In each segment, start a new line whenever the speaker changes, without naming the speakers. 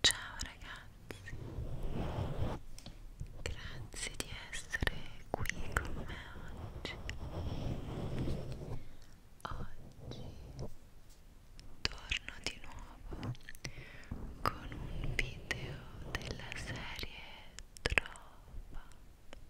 Ciao ragazzi, grazie di essere qui con me oggi. Oggi torno di nuovo con un video della serie Trova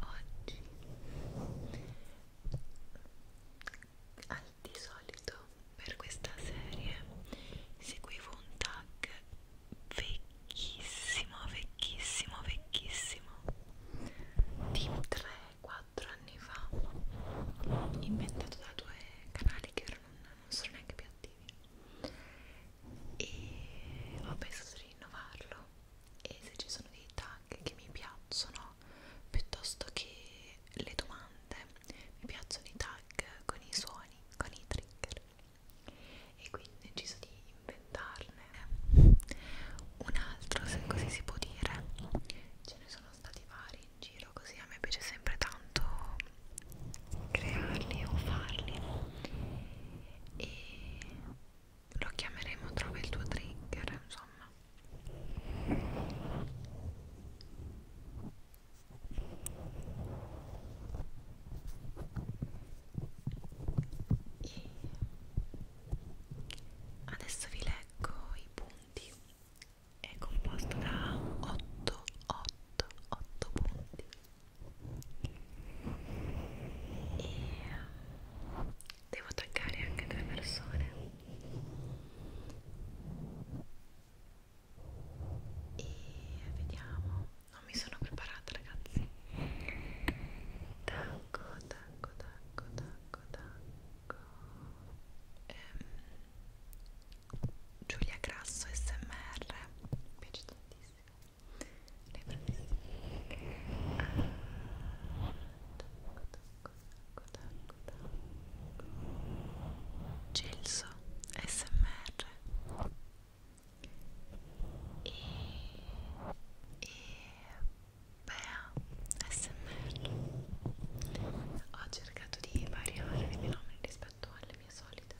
oggi al di solito per questa serie seguivo un tag vecchissimo vecchissimo vecchissimo di 3-4 anni fa inventato da due canali che non, non sono neanche più attivi e ho pensato di rinnovarlo e se ci sono dei tag che mi piacciono piuttosto che le domande mi piacciono i tag con i suoni, con i trigger e quindi ho deciso di inventarne un altro se così si può dire ce ne sono stati vari in giro così a me piace sempre tanto crearli o farli e lo chiameremo trova il tuo trigger insomma e adesso vi leggo i punti è composto da 8 8 8 punti e devo toccare anche tre persone e vediamo non mi sono preparata ragazzi tacco tacco tacco tacco tacco ehm, Giulia Grasso SMR mi piace tantissimo Gelso SMR e, e Bea SMR ho cercato di variare i miei nomi rispetto alle mie solite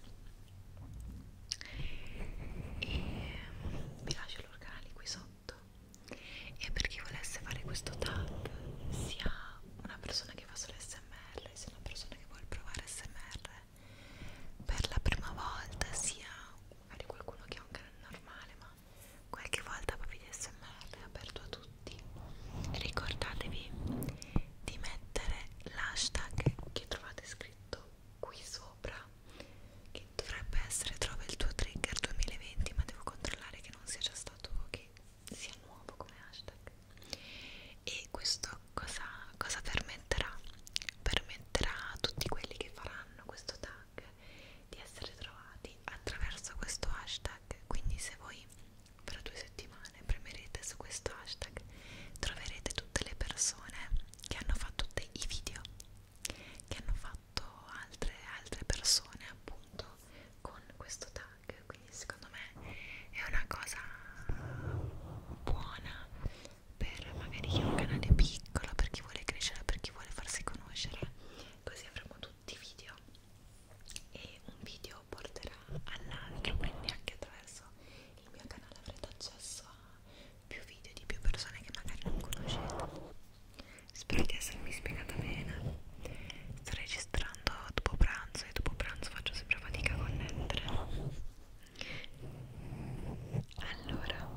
e vi lascio c'è l'organelli qui sotto e per chi volesse fare questo tap sia una persona che fa solo smr sia una persona che vuole provare smr per la prima volta sia magari qualcuno che ha un canale normale ma qualche volta proprio di smr è aperto a tutti ricordatevi di mettere l'hashtag che trovate scritto qui sopra che dovrebbe essere trova il tuo trigger 2020 ma devo controllare che non sia già stato che sia nuovo come hashtag e questo cosa, cosa permetterà? permetterà a tutti quelli che faranno questo tag di essere trovati attraverso questo hashtag quindi se voi per due settimane premerete su questo hashtag troverete tutte le persone che hanno fatto tutti i video che hanno fatto altre, altre persone appunto con questo tag quindi secondo me è una cosa buona per magari chi ha un canale piccolo per chi vuole crescere per chi vuole farsi conoscere così avremo tutti i video e un video porterà all'altro quindi anche attraverso il mio canale avrete accesso a più video di più persone che magari non conoscete spero di essermi spiegata bene sto registrando dopo pranzo e dopo pranzo faccio sempre fatica a connettere allora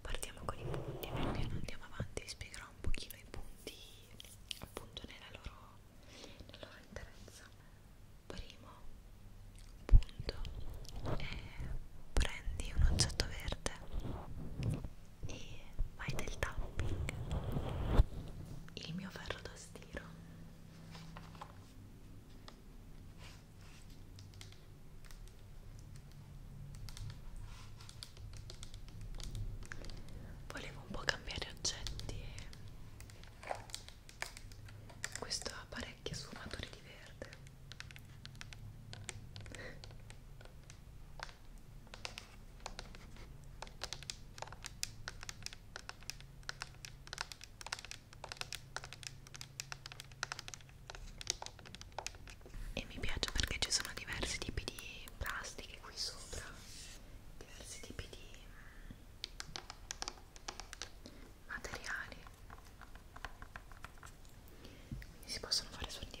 partiamo con i punti pian piano andiamo avanti vi spiegherò un pochino i punti appunto nella loro, nella loro interezza primo punto e prendi un oggetto verde e fai del tapping il mio ferro da stiro volevo un po' cambiare oggetti e questo ha parecchie sfumature di verde e mi piace perché ci sono diversi tipi di plastiche qui sopra diversi tipi di mm, materiali quindi si possono fare suoni diversi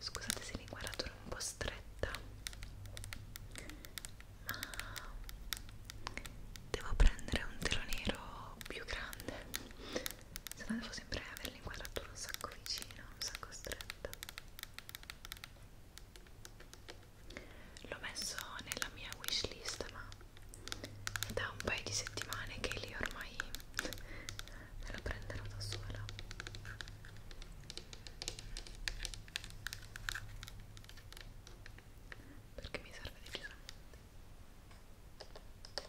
Scusate se l'inquadratura è un po' stretta, ma devo prendere un telo nero più grande, se no devo sempre avere l'inquadratura un sacco vicina, un sacco stretta l'ho messo nella mia wishlist ma da un paio di settimane che lì ormai me lo prenderò da sola perché mi serve decisamente ok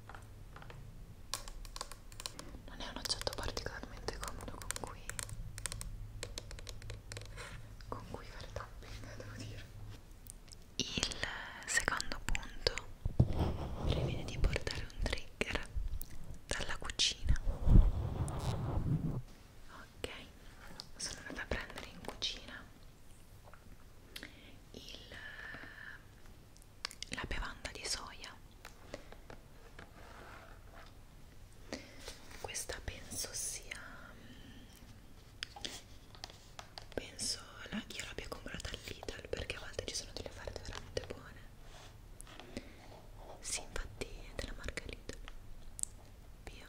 non è un oggetto particolarmente comodo con cui con cui fare tapping devo dire il secondo punto previene di portare un trigger dalla cucina ok sono andata a prendere in cucina il la bevanda di soia questa penso sia mm, penso la, io l'abbia comprata all'Idal perché a volte ci sono delle offerte veramente buone sì infatti è della marca Lidl via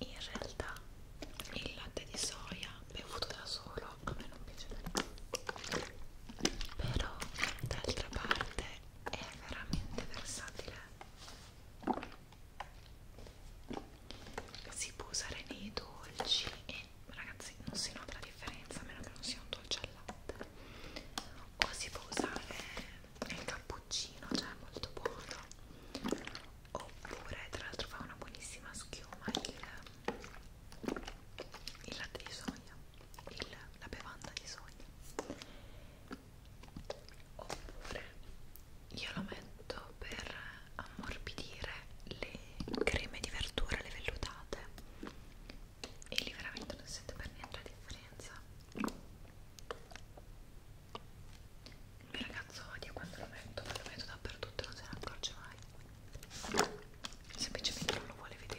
in realtà il latte di soia bevuto da solo a me non piace però d'altra parte è veramente versatile si può usare nei dolci e ragazzi non si nota la differenza a meno che non sia un dolce al latte o si può usare e il cappuccino, cioè è molto buono oppure tra l'altro fa una buonissima schiuma il, il latte di soia il, la bevanda di soia oppure io lo metto per ammorbidire le creme di verdura, le vellutate e lì veramente non sento per niente la differenza il mio ragazzo odia quando lo metto, ma lo metto dappertutto e non se ne accorge mai. Semplicemente non lo vuole vedere.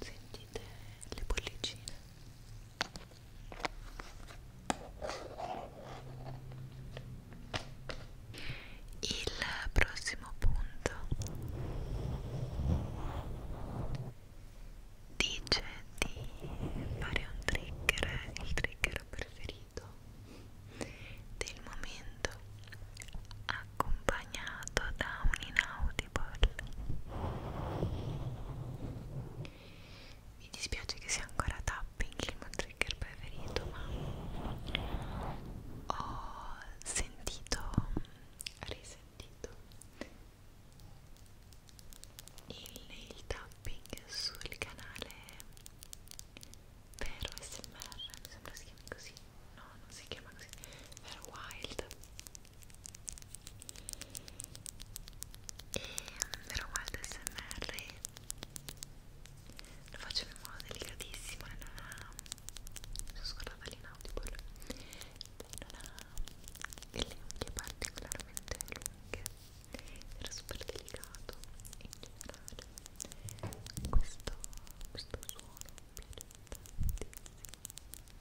sentite le bollicine il prossimo punto dice di fare un trigger il trigger preferito del momento a accompagnato da un inaudible mi dispiace che sia ancora tapping il mio trigger preferito ma ho sentito risentito il nail tapping sul canale vero SMR mi sembra si chiami così no non si chiama così vero wild e però guarda smr lo faccio in modo delicatissimo e non ha mi sono scordata l'inaudible non ha delle unghie particolarmente lunghe era super delicato in generale questo, questo suono mi piace tantissimo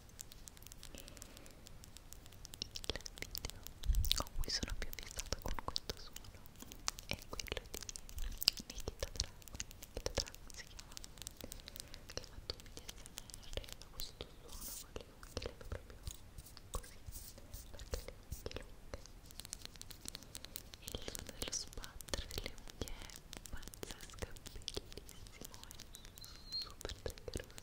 video con cui sono più fissata con questo suono è quello di Nikita Dragon Nikita Dragon si chiama che ha fatto un video insieme a questo suono con le unghie le proprio così perché le unghie lunghe e il suono dello sbattere delle unghie è sento bellissimo e super triggeroso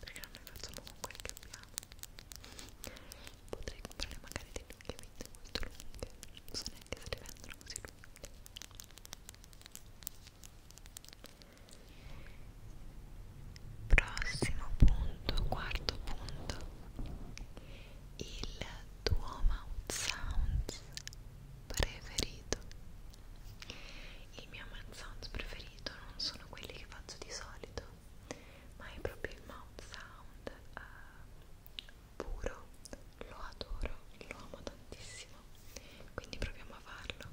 perché non noi facciamo con quel che abbiamo potrei comprare magari dei lunghe vite molto lunghe non so neanche se le vendono così lunghe prossimo punto quarto punto il Duomo Sounds preferito il mio mouth sound preferito non sono quelli che faccio di solito ma è proprio il mouth sound uh, puro lo adoro, lo amo tantissimo quindi proviamo a farlo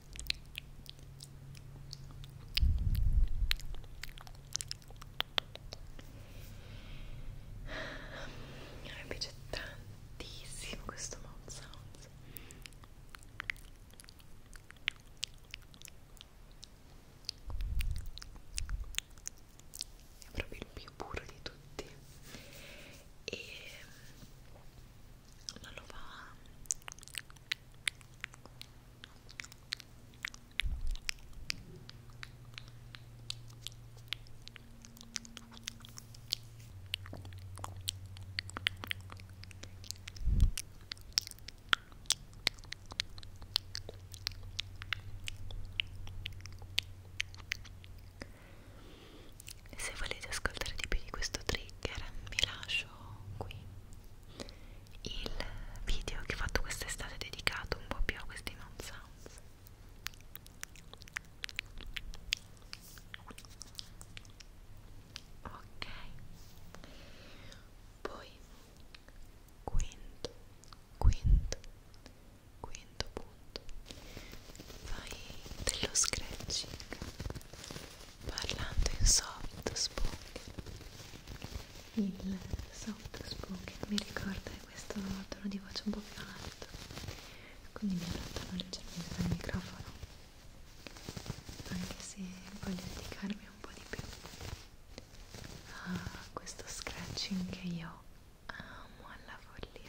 mi piace tantissimo questo mouth sounds è proprio il più puro di tutti e non lo fa se volete ascoltare di più di questo trigger, vi lascio qui il video che ho fatto quest'estate dedicato un po' più a questi mouth sounds ok poi quinto quinto quinto punto fai dello scratching parlando in soft spoken il soft spoken mi ricorda questo tono di voce un po' più alto quindi mi allontano leggermente dal microfono anche se voglio dedicarmi un po' di più a questo scratching che io amo alla follia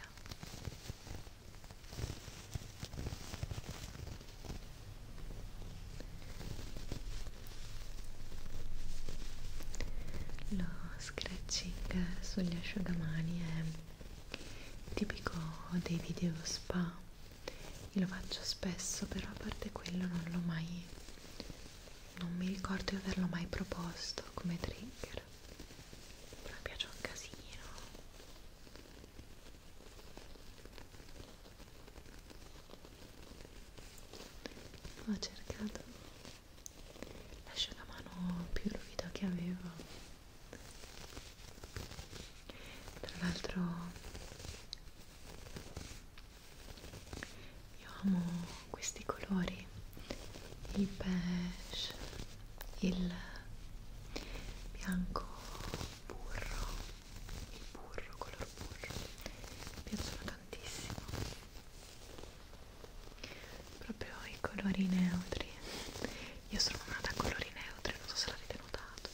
lo scratching sugli asciugamani è tipico dei video spa, io lo faccio spesso, però a parte quello non l'ho mai, non mi ricordo di averlo mai proposto come trigger, però mi piace un casino ho cercato l'asciugamano più ruvido che avevo tra l'altro io amo questi colori il beige il bianco burro burro, color burro mi piacciono tantissimo proprio i colori neutri io sono una da colori neutri, non so se l'avete notato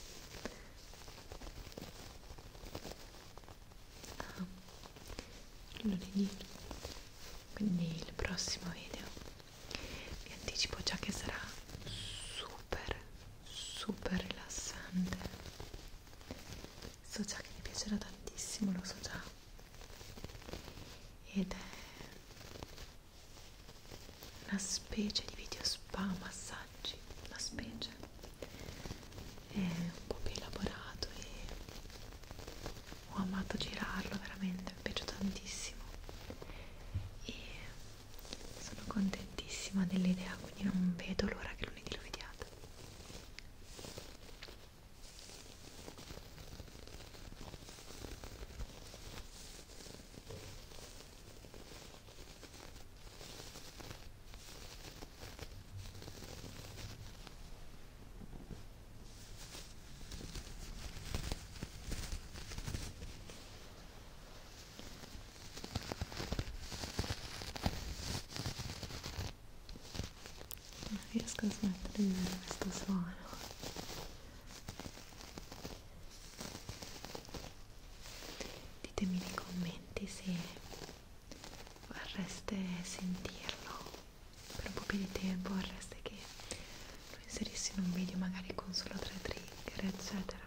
ah, lunedì quindi il prossimo video vi anticipo già che sarà super super rilassante so già che ti piacerà tantissimo, lo so già ed è una specie di video spa massaggi, una specie è un po' più elaborato e ho amato girarlo veramente, mi piace tantissimo e sono contentissima dell'idea quindi non vedo l'ora che lunedì lo vediate non riesco a smettere di vedere questo suono ditemi nei commenti se vorreste sentirlo per un po' più di tempo vorreste che lo inserissi in un video magari con solo tre trigger eccetera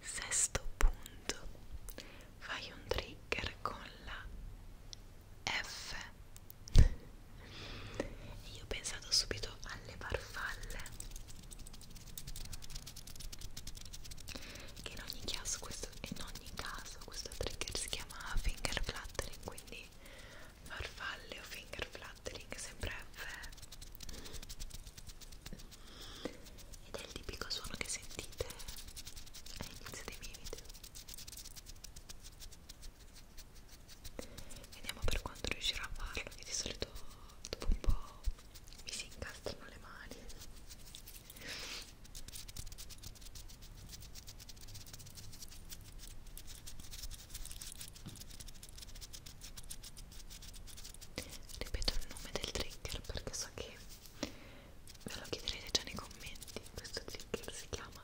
Sesto punto, fai un trigger con la F. Io ho pensato subito alle farfalle, che in ogni caso questo, in ogni caso questo trigger si chiama finger fluttering, quindi farfalle o finger fluttering sempre F ed è il tipico suono che sentite all'inizio dei miei video vediamo per quanto riuscirò a farlo che di solito dopo un po' mi si incastrano le mani ripeto il nome del trigger perché so che me lo chiederete già nei commenti questo trigger si chiama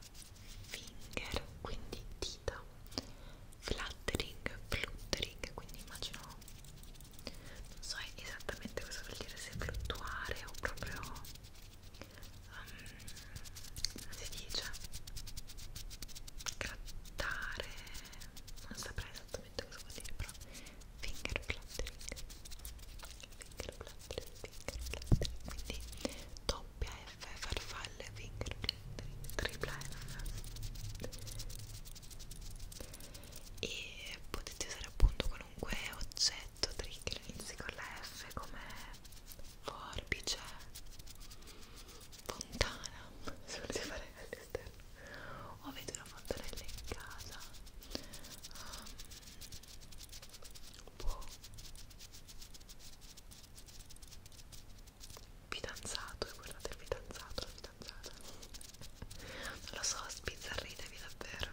finger quindi dita fluttering fluttering quindi immagino non so esattamente cosa vuol dire se fluttuare o proprio um, come si dice grattare non saprei esattamente esattamente cosa vuol dire però finger fluttering finger fluttering finger fluttering quindi doppia F farfalle finger fluttering tripla F e potete usare appunto qualunque oggetto trigger inizi con la F come forbice fontana se volete fare all'esterno o avete una fontanella in casa um, boh fidanzato e guardate il fidanzato la fidanzata non lo so spizzarritevi davvero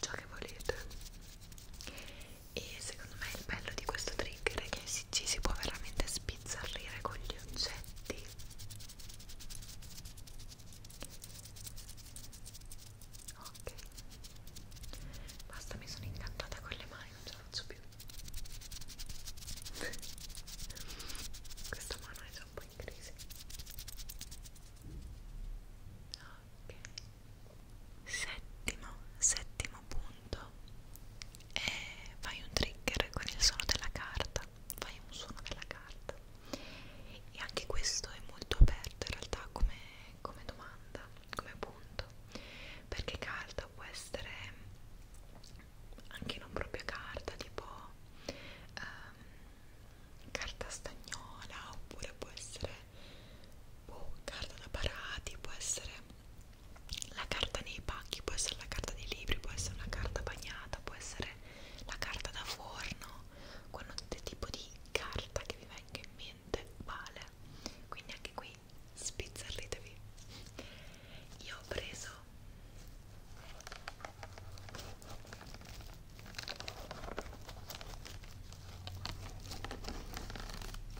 ciò che volete e secondo me il bello di questo trigger è che si si, ci si può veramente spizzarrire con gli oggetti ok basta mi sono incantata con le mani non ce la faccio più questa mano è già un po' in crisi ok settimo settimo punto mondo e fai un trigger con il suono della carta fai un suono della carta e anche questo è molto aperto in realtà come, come domanda come punto perché carta può essere anche non proprio carta tipo um, carta stagnola oppure può essere boh, carta da parati può essere la carta nei pacchi può essere la carta dei libri, può essere una carta bagnata, può essere la carta da forno, qualunque tipo di carta che vi venga in mente vale. Quindi anche qui spizzarritevi. Io ho preso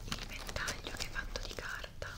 il ventaglio che è fatto di carta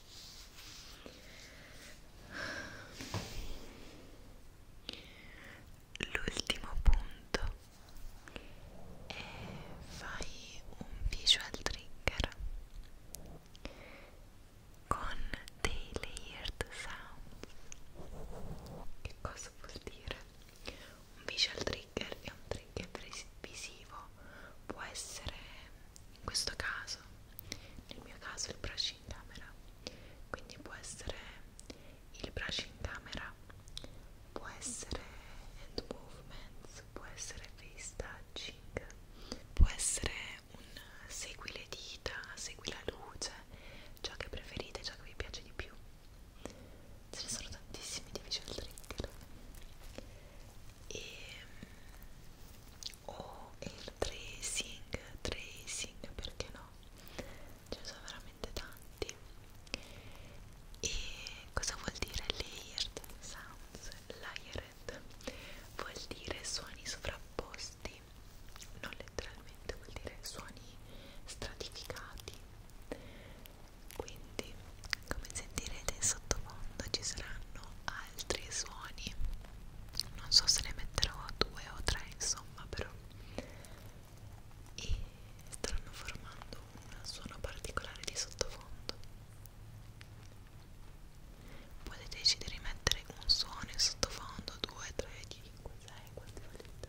L'ultimo punto è fai un visual trigger con dei layered sounds. Che cosa vuol dire? Un visual trigger è un trigger visivo, può essere in questo caso nel mio caso il brush in camera quindi può essere il brush in camera può essere hand movements può essere face touching può essere un segui le dita segui la luce ciò che preferite ciò che vi piace di più ce ne sono tantissimi di visual trigger e o il tracing, tracing perché no? Ce ne sono veramente tanti. E cosa vuol dire layered sounds? Layered vuol dire suoni sovrapposti, non letteralmente, vuol dire suoni stratificati. Quindi, come sentirete in sottofondo ci saranno altri suoni non so se ne metterò due o tre insomma però e stanno formando un suono particolare di sottofondo potete decidere di mettere un suono in sottofondo 2, 3, 5, 6 quanti volete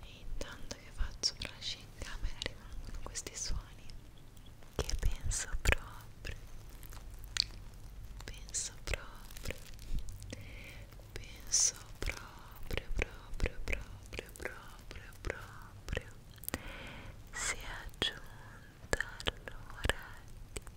E intanto che faccio brushing in camera rimangono questi suoni che penso proprio, penso proprio, penso proprio, proprio, proprio, proprio, proprio, si è aggiunta allora a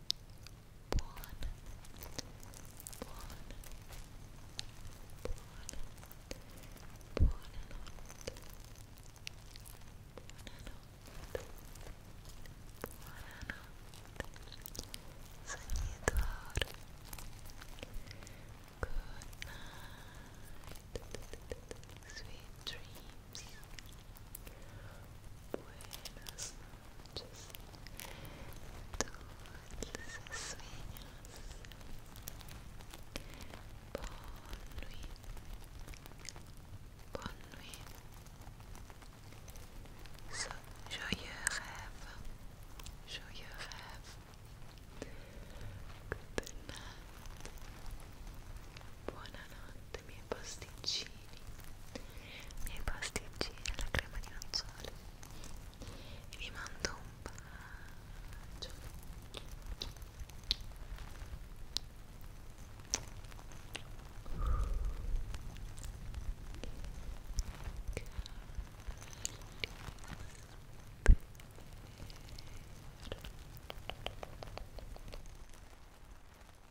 blonde, Good night. Sweet dreams. Buenas noches, dulces sueños. Bonne nuit, bonne nuit. So, joyeux rêve, joyeux rêve. Good night, bonne nuit. tutti i miei pasticcini i miei pasticcini alla crema di nocciole e vi mando un bacio